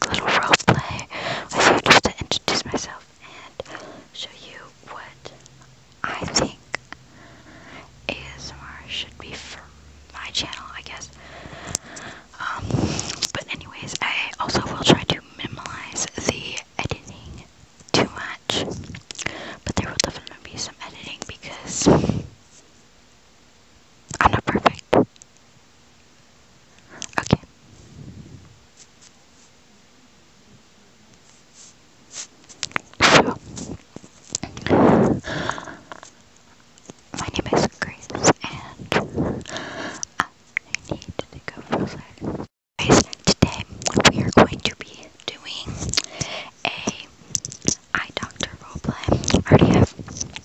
quick little role play with you just to introduce myself and show you what I think ASMR should be for my channel, I guess. Um, but anyways, I also will try to minimize the editing too much, but there will definitely be some editing because I'm not perfect. Okay. So, my name is Grace, and I need to go for a second. today we are going to be doing a eye doctor roleplay. I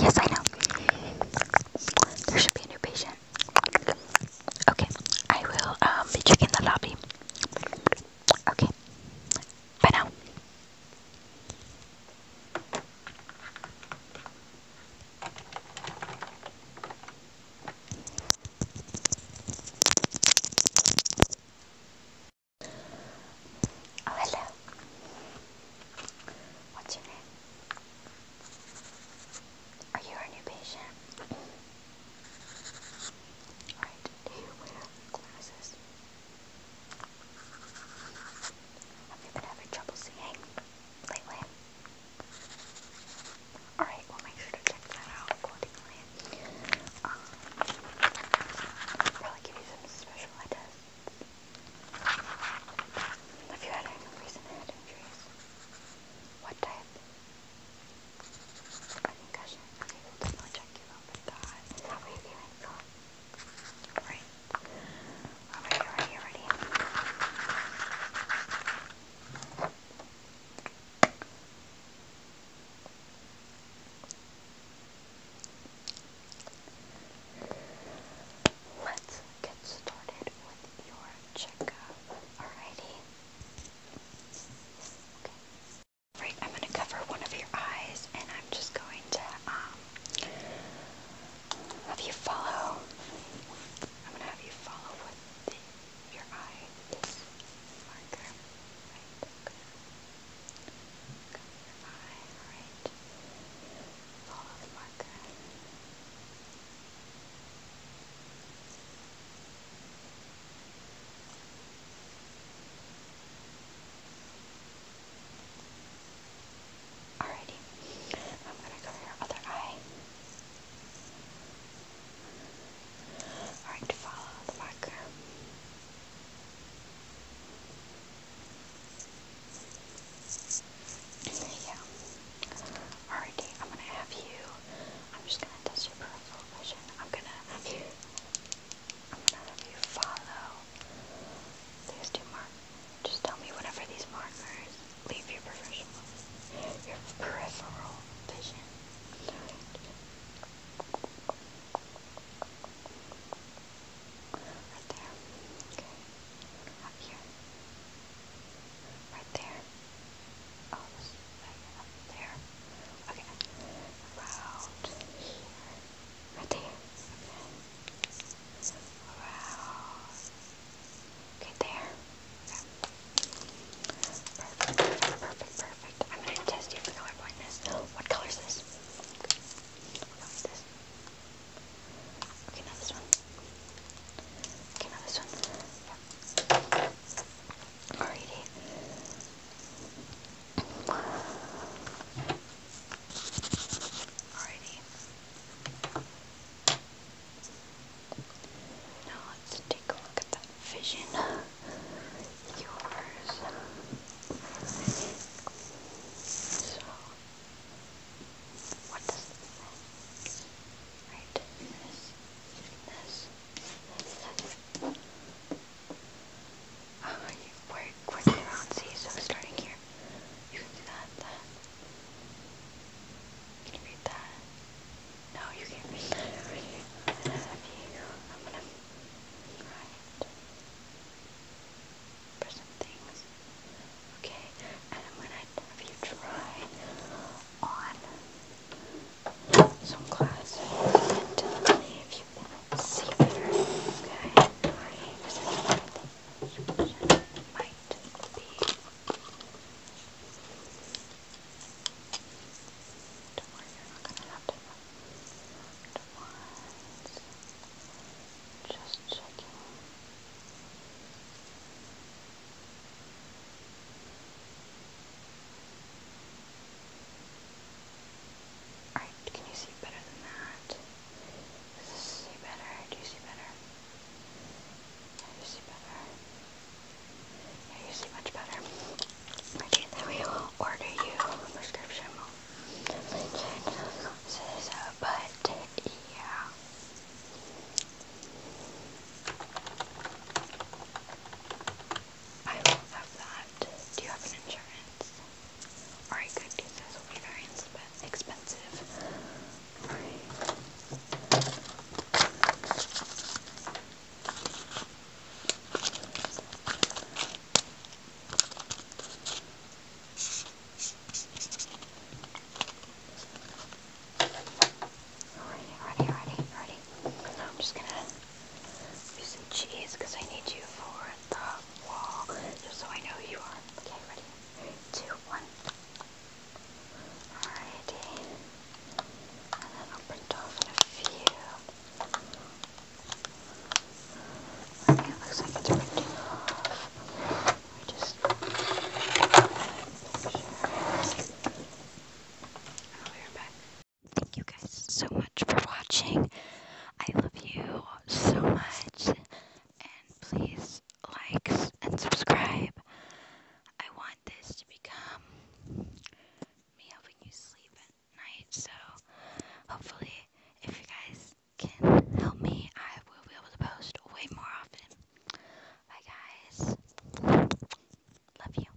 Yes, I know. There should be a new patient. Okay, I will um, be checking the lobby. Okay, bye now. Oh, hello. What's your name? Are you a new patient? do you wear glasses? Have been having trouble seeing lately? Alright, we'll make sure to check that out probably um, give you some special ideas. Have you had any recent head injuries? What type? A concussion. Okay, we Let's get started with your checkup. Alrighty. Okay. Right, I'm gonna cover one of your eyes and I'm just going to um have you follow I'm gonna have you follow with the, your eye this marker. Right, okay alright? Alrighty. I'm gonna cover your other eye. Alright, follow the marker. There you go. I'm gonna have you. I'm just gonna test your peripheral vision. I'm gonna have you. I'm gonna have you follow these two markers. Just tell me whenever these markers leave your professional, your peripheral vision. Right there. Okay. Up here. Right there. Oh, there. Okay. Around here. Right there. Okay. Around. Okay, there. Perfect, perfect, perfect. I'm going to test you for colorblindness. color is What color is this? Okay, now this one. Okay, now this one. Alrighty. Alrighty. Now let's take a look at that vision. Yours. So, what does this say? Right? This, this, this, this. Oh, you work around. so starting here, you can do that, that, can you read that? No, you can't read that I'm gonna write for some things. Okay, and I'm gonna you try on some glasses if you can see better. Okay, you might be don't worry, you're not gonna have different ones. Just checking. Alright, can you see better than that? Does this see better? Do you see better? Yeah, you see better. Yeah, you see much better. Okay, then we will order you a prescription. This uh, but yeah. I will have that. Do you have an insurance? Or I could do this, it will be very expensive. Ready, ready, ready, Now I'm just gonna use some cheese because I need you for the wall, just so I know who you are. Okay, ready? three, two, one. Alrighty. And then i off a few. Okay, it looks like it's printing off. I just picture. i back. Thank you guys so much for watching. I love you so much and please like and subscribe. I want this to become me helping you sleep at night, so hopefully, if you guys can help me, I will be able to post way more often. Bye, guys. Love you.